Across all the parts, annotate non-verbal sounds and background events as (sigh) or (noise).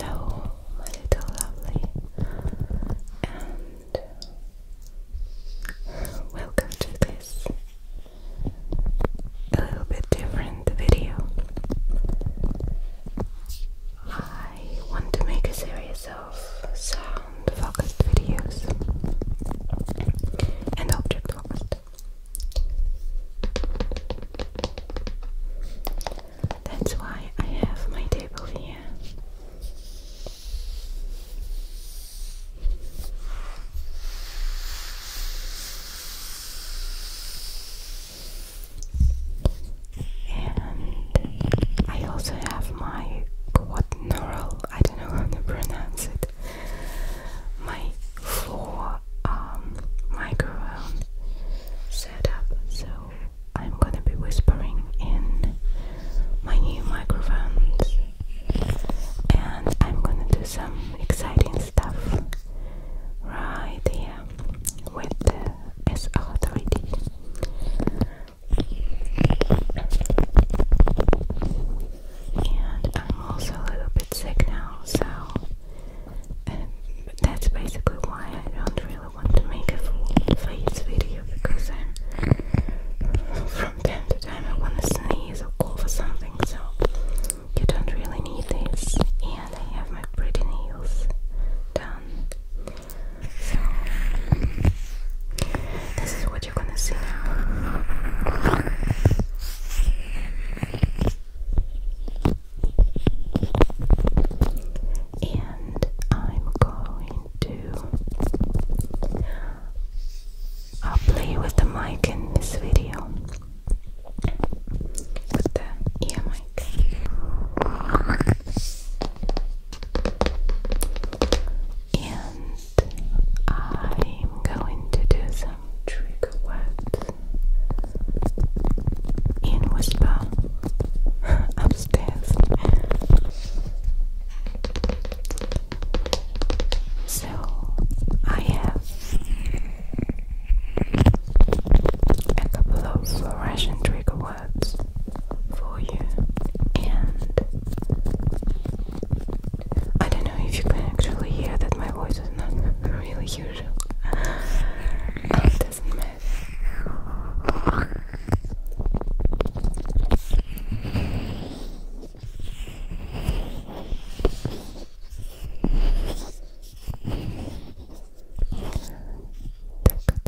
Hello, little lovely, and welcome to this a little bit different video. I want to make a series of of sound focused videos and object focused. That's why I have my table here. And I also have my quad neural I don't know how to pronounce it. My floor um, microphone setup, so I'm gonna be whispering in my new microphones, and I'm gonna do some exciting stuff right here with the SR3D. And I'm also a little bit sick now, so that's basically why I don't really want to make a full face video because I'm from time to time I want to sneeze or cough or something, so you don't really need this. And I have my pretty nails done. So, this is what you're gonna see now. And I'm going to uh, play with the mic in this video. With the ear mic and I'm going to do some trick words in whisper (laughs) upstairs. So I have a couple of Russian trigger words for you, and I don't know if you can actually hear that my voice is not (laughs) really usual. It doesn't matter.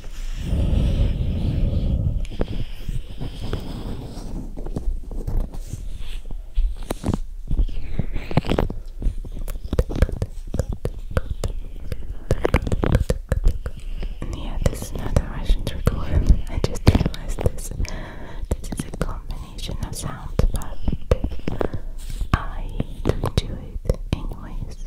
Yeah, this is not Russian trigger. I just realized this. This is a combination of sounds, but I do it anyways.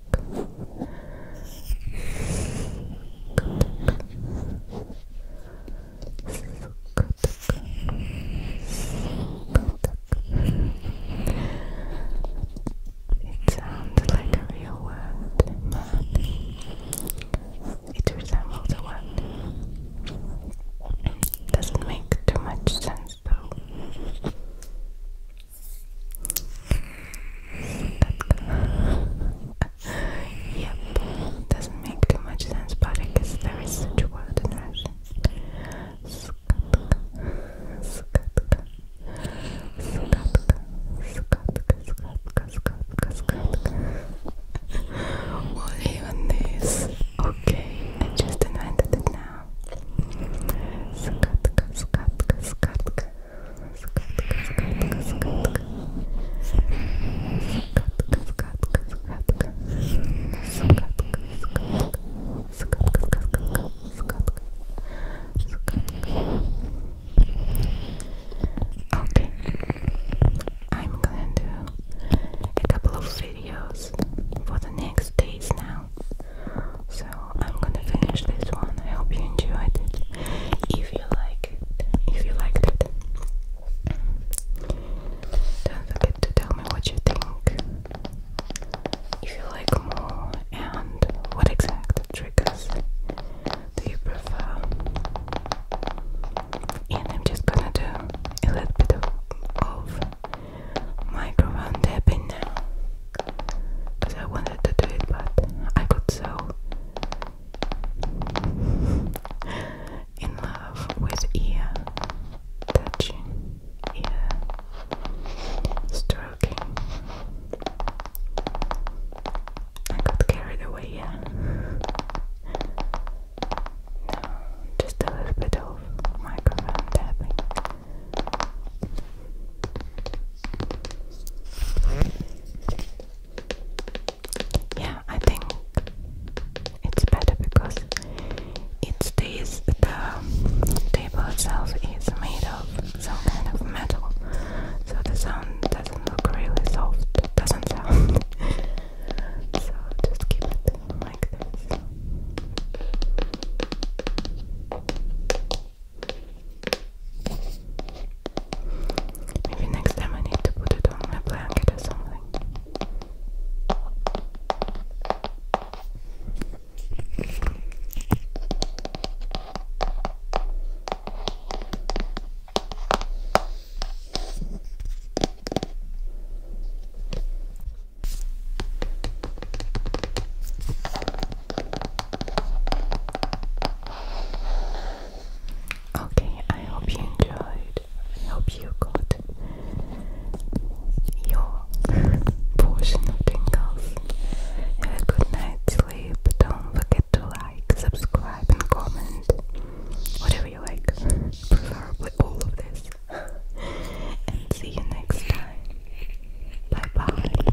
It sounds like a real word, it resembles a word. Doesn't make too much sense though yep, doesn't make too much sense, but I guess there is such word in Russian. What even this? Okay, I just invented it now. Загадка, загадка, загадка. Загадка, загадка, загадка. Загадка, загадка, загадка. Загадка, загадка. Загадка, загадка, загадка. Загадка. Okay. I'm gonna do a couple of videos for the next days now. So I'm gonna finish this one. I hope you enjoyed it. If you like it, if you liked it, don't forget to tell me what you think. If you like more and what exact triggers do you prefer? And I'm just gonna do a little bit of microphone tapping now because I wanted to do it but I could so in love with ear touching, ear stroking. I got carried away, No, just a little bit of microphone tapping. Yeah, I think it's better because it stays, the table itself is made of some kind of metal, so the sound doesn't look really soft, doesn't sound. (laughs) so just keep it like this. Maybe next time I need to put it on my blanket or something. Okay, I hope you enjoyed. I hope you got your portion of tingles. Have a good night's sleep. Don't forget to like, subscribe, and comment. Whatever you like, preferably all of this and see you next time. Bye bye.